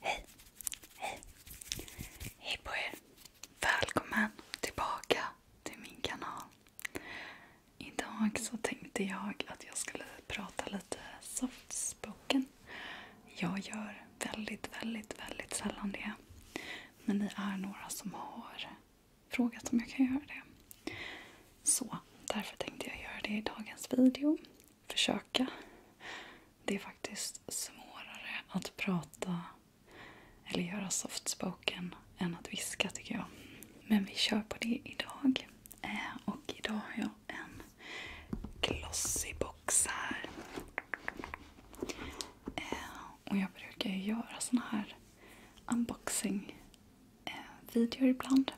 Hej! Hej! Hej på er! Välkommen tillbaka till min kanal. Idag så tänkte jag att jag skulle prata lite soft spoken. Jag gör väldigt, väldigt, väldigt sällan det. Men ni är några som har frågat om jag kan göra det. Så därför tänkte jag göra det i dagens video. Försöka. Det är faktiskt svårare att prata eller göra soft spoken än att viska tycker jag. Men vi kör på det idag. Eh, och idag har jag en glossy box här. Eh, och jag brukar ju göra såna här unboxing-videor eh, ibland.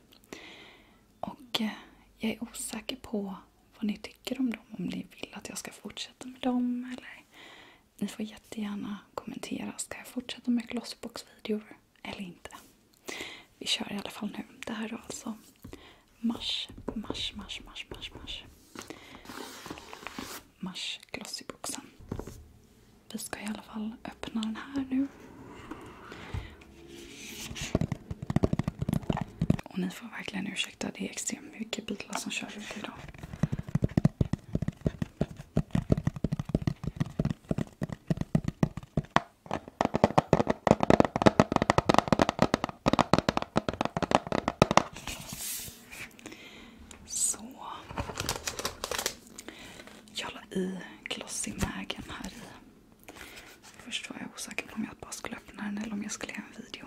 Och jag är osäker på vad ni tycker om dem. Om ni vill att jag ska fortsätta med dem eller ni får jättegärna kommentera. Ska jag fortsätta med Glossbox-videor eller inte? Vi kör i alla fall nu. Det här är alltså mars, mars, mars, mars, mars, mars. Mars Glossyboxen. Vi ska i alla fall öppna den här nu. Och ni får verkligen ursäkta, det är extremt mycket bilar som kör ut idag. Så. Jag la i glossymägen här i. Först var jag osäker på om jag bara skulle öppna den eller om jag skulle göra en video.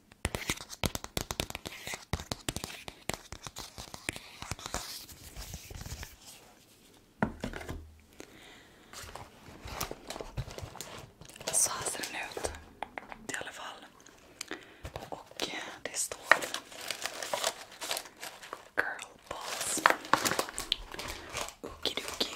Så här ser den ut i alla fall. Och det står Girl Balls. Okidoki.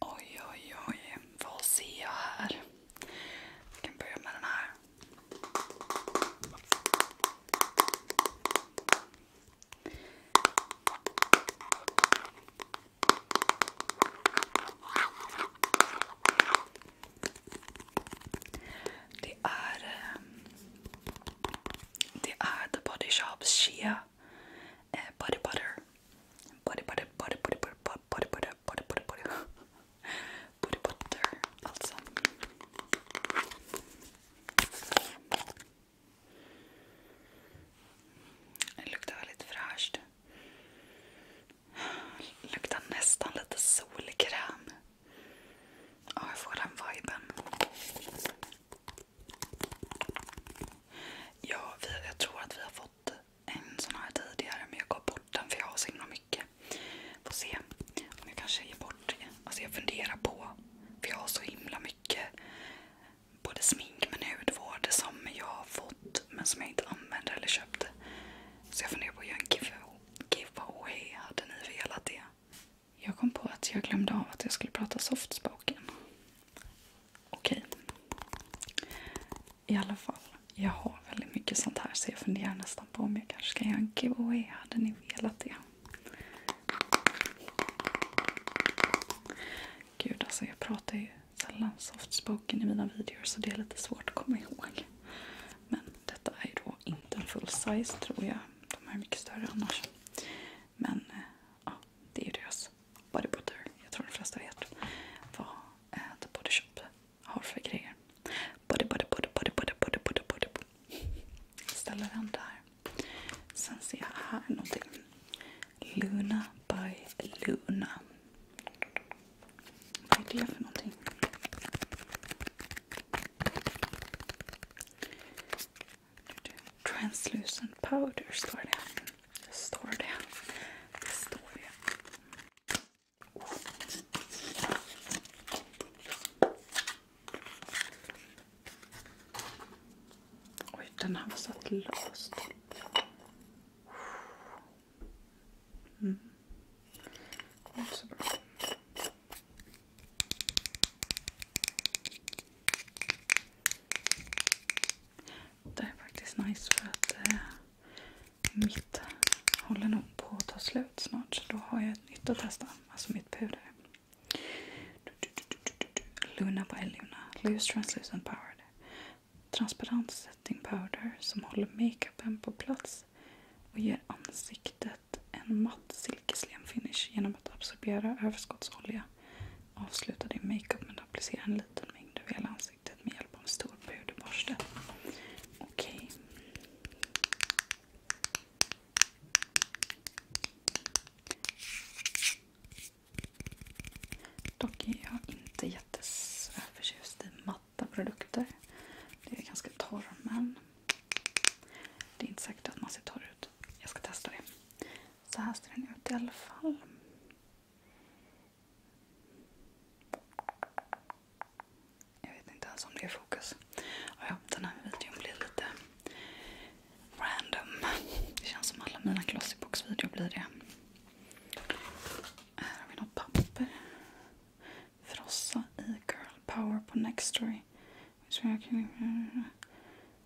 Oj, oj, oj. Vad ser jag här? Jag kan börja med den här. Det är, ehm, The Body Shops Shea eh, Body Butter. Body butter, body butter, body butter, body butter, Det luktar väldigt fräscht. luktar nästan lite solkräm. Ja, jag får den viben. Ja, jag tror att vi har fått fått en sån här tidigare men jag gav bort den för jag har så himla mycket. Får se om jag kanske ger bort det. Alltså jag funderar på, för jag har så himla mycket både smink men hudvård som jag har fått men som jag inte använder eller köpte. Så jag funderar på att göra en giveaway. Hade ni velat det? Jag kom på att jag glömde av att jag skulle prata softspoken. Okej. I alla fall. Jag har väldigt mycket sånt här så jag funderar nästan på om jag kanske ska göra en giveaway. Hade ni velat det? Gud alltså, jag pratar ju sällan soft spoken i mina videor så det är lite svårt att komma ihåg. Men detta är ju då inte en full size tror jag. De här är mycket större annars. Men eh, ja, det är ju deras body butter. Jag tror de flesta vet vad eh, The Body Shop har för grejer. Body, body, body, body, body, body, body, body. Ställer den där. Sen ser jag här någonting. Luna by Luna. Vad är det för någonting? translucent powder Store det. Store står Store Det står det. Oj, den här lost. satt Det är faktiskt nice för att eh, mitt håller nog på att ta slut snart. Så då har jag ett nytt att testa. Alltså mitt puder. Luna by Luna. Loose Translucent Powered. Transparent setting powder som håller makeupen på plats och ger ansiktet en matt silkeslem finish genom att absorbera överskottsolja Avsluta din makeup med att applicera en liten mängd över hela ansiktet med hjälp av en stor puderborste. Okej. Okay. Dock är jag inte förtjust i matta produkter. Det är ganska torr men det är inte säkert att man ser torr ut. Jag ska testa det. Så här ser den ut i alla fall. Jag vet inte ens om det är fokus. Och ja, den här videon blir lite random. Det känns som alla mina Glossybox-videor blir det. Här har vi något papper. Frossa i Girl Power på Nextory.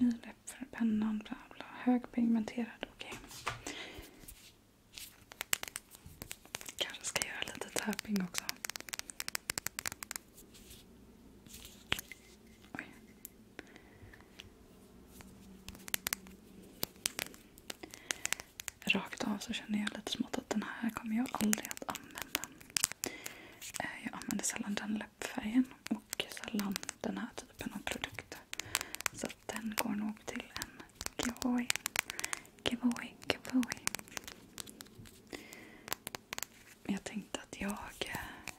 Ny läpp för pennan, bla bla. Högpigmenterad, okej. Okay. Kanske ska göra lite tapping också. Rakt av så känner jag lite smått att den här kommer jag aldrig att använda. Eh, jag använder sällan den läppfärgen och sällan den här typen av produkter. Så den går nog till en giveaway. Giveaway, giveaway. Jag tänkte att jag eh,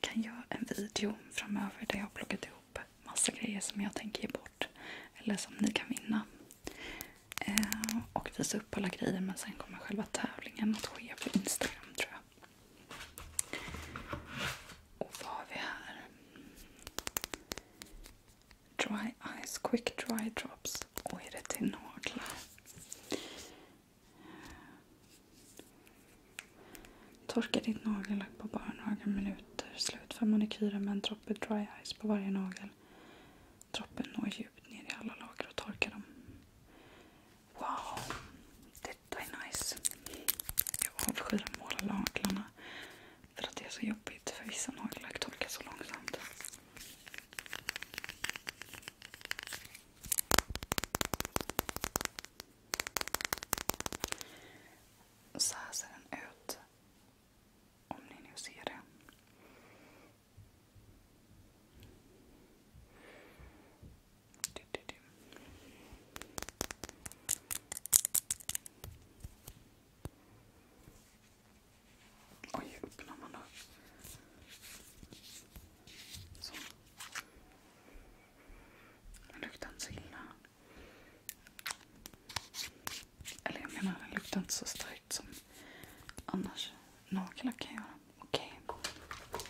kan göra en video framöver där jag har plockat ihop massa grejer som jag tänker ge bort. Eller som ni kan vinna. Eh, och visa upp alla grejer men sen kommer själva tävlingen att ske på Instagram tror jag. Och vad har vi här? Dry Eyes Quick Dry Drops. Och är det till naglar? Torka ditt nagellack på bara några minuter. Slutför manikyren med en droppe Dry Eyes på varje nagel. Droppen når djupt ner i alla lager och torkar dem Wow, detta är nice. Jag avskyr att måla naglarna för att det är så jobbigt för vissa nagellack torkar så långsamt. Så här ser den ut. Om ni nu ser det. Du, du, öppnar man då? Så. Luktar inte så illa. Eller jag menar, den luktar inte så starkt som annars. Nagellack kan jag göra. Okej. Okay.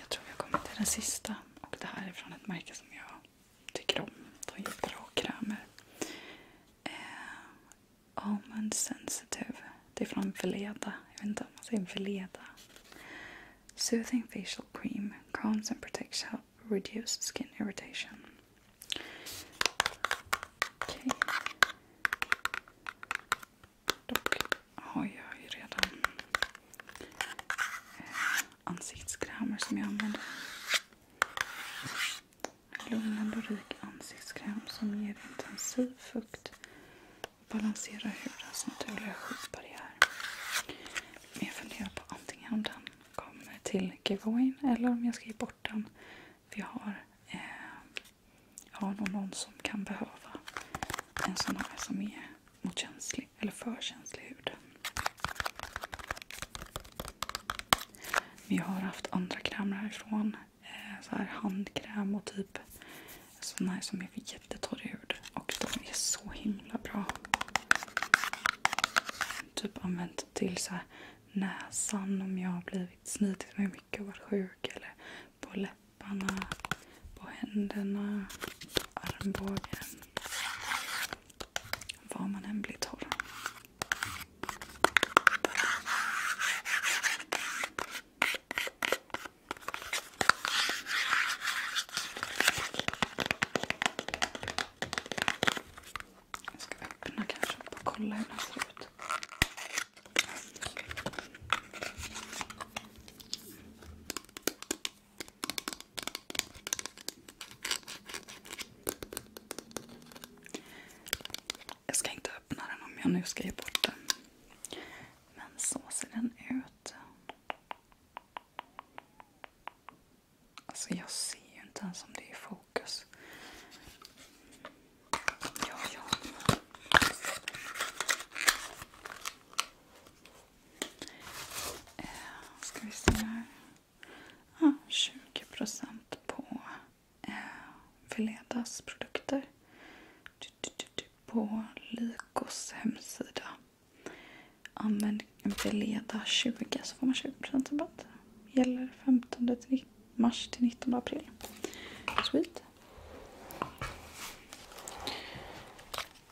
Jag tror vi har kommit till den sista. Och Det här är från ett märke som jag tycker om. De gör bra krämer. Eh, Almond Sensitive. Det är från Veleda. Jag vet inte om man säger Veleda. Soothing Facial Cream. Calms and protects help reduce skin irritation. Dock har jag ju redan eh, ansiktskrämer som jag använder. Lugnande och rik ansiktskräm som ger intensiv fukt och balanserar hudens naturliga skyddsbarriär. Men jag funderar på antingen om den kommer till giveawayn eller om jag ska ge bort den. För jag har eh, har nog någon som kan behöva en sån här som är mot känslig eller för känslig hud. Vi har haft andra krämer härifrån. Eh, så här handkräm och typ sån här som är för jättetorr hud. Och de är så himla bra. Typ använt till så här näsan om jag har blivit snitit mig mycket och varit sjuk. Eller på läpparna, på händerna, armbågen. Var man än blir torr. Jag ska öppna kanske och kolla hur den ser ut. Jag ska inte öppna den om jag nu ska ge bort den. Men så ser den ut. Alltså jag ser ju inte ens om det är i fokus. Ja, eh, ja. ska vi se här. 20 på eh, Veledas produkter. på Lykos hemsida. Använd Veleda 20 så får man 20 rabatt. Gäller 15 till mars till 19 april. Sweet.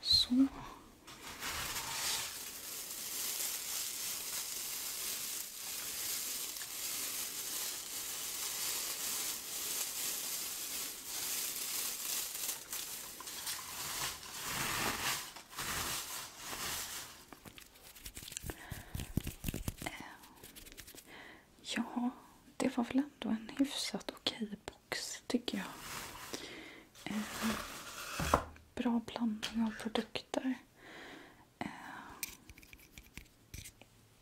Så. Eh, ja, det var väl ändå en hyfsat okej box tycker jag. Eh, bra blandning av produkter. Eh,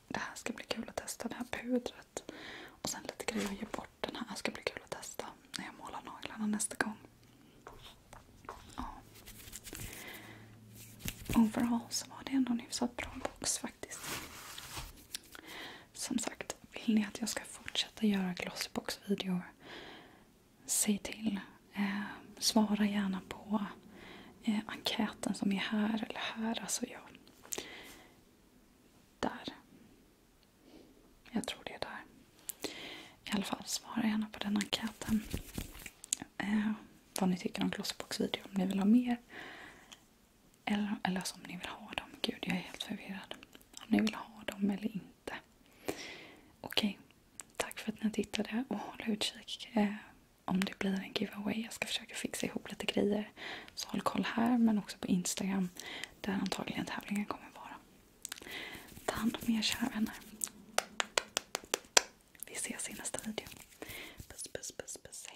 det här ska bli kul att testa, det här pudret. Och sen lite grejer att ge bort. Den här ska bli kul att testa när jag målar naglarna nästa gång. Overall så var det ändå en hyfsat bra box faktiskt. Som sagt, vill ni att jag ska fortsätta göra Glossybox-videor? Säg till. Eh, svara gärna på eh, enkäten som är här eller här. Alltså jag... Där. Jag tror det är där. I alla fall, svara gärna på den enkäten eh, vad ni tycker om Glossbox-video. Om ni vill ha mer. Eller, eller om ni vill ha dem. Gud, jag är helt förvirrad. Om ni vill ha dem eller inte. Okej. Tack för att ni tittade och håll utkik eh, om det blir en giveaway. Jag ska försöka fixa ihop lite grejer. Så håll koll här men också på Instagram där antagligen tävlingen kommer vara. Ta hand om er kära vänner. Vi ses i nästa video. Puss, puss, puss, puss.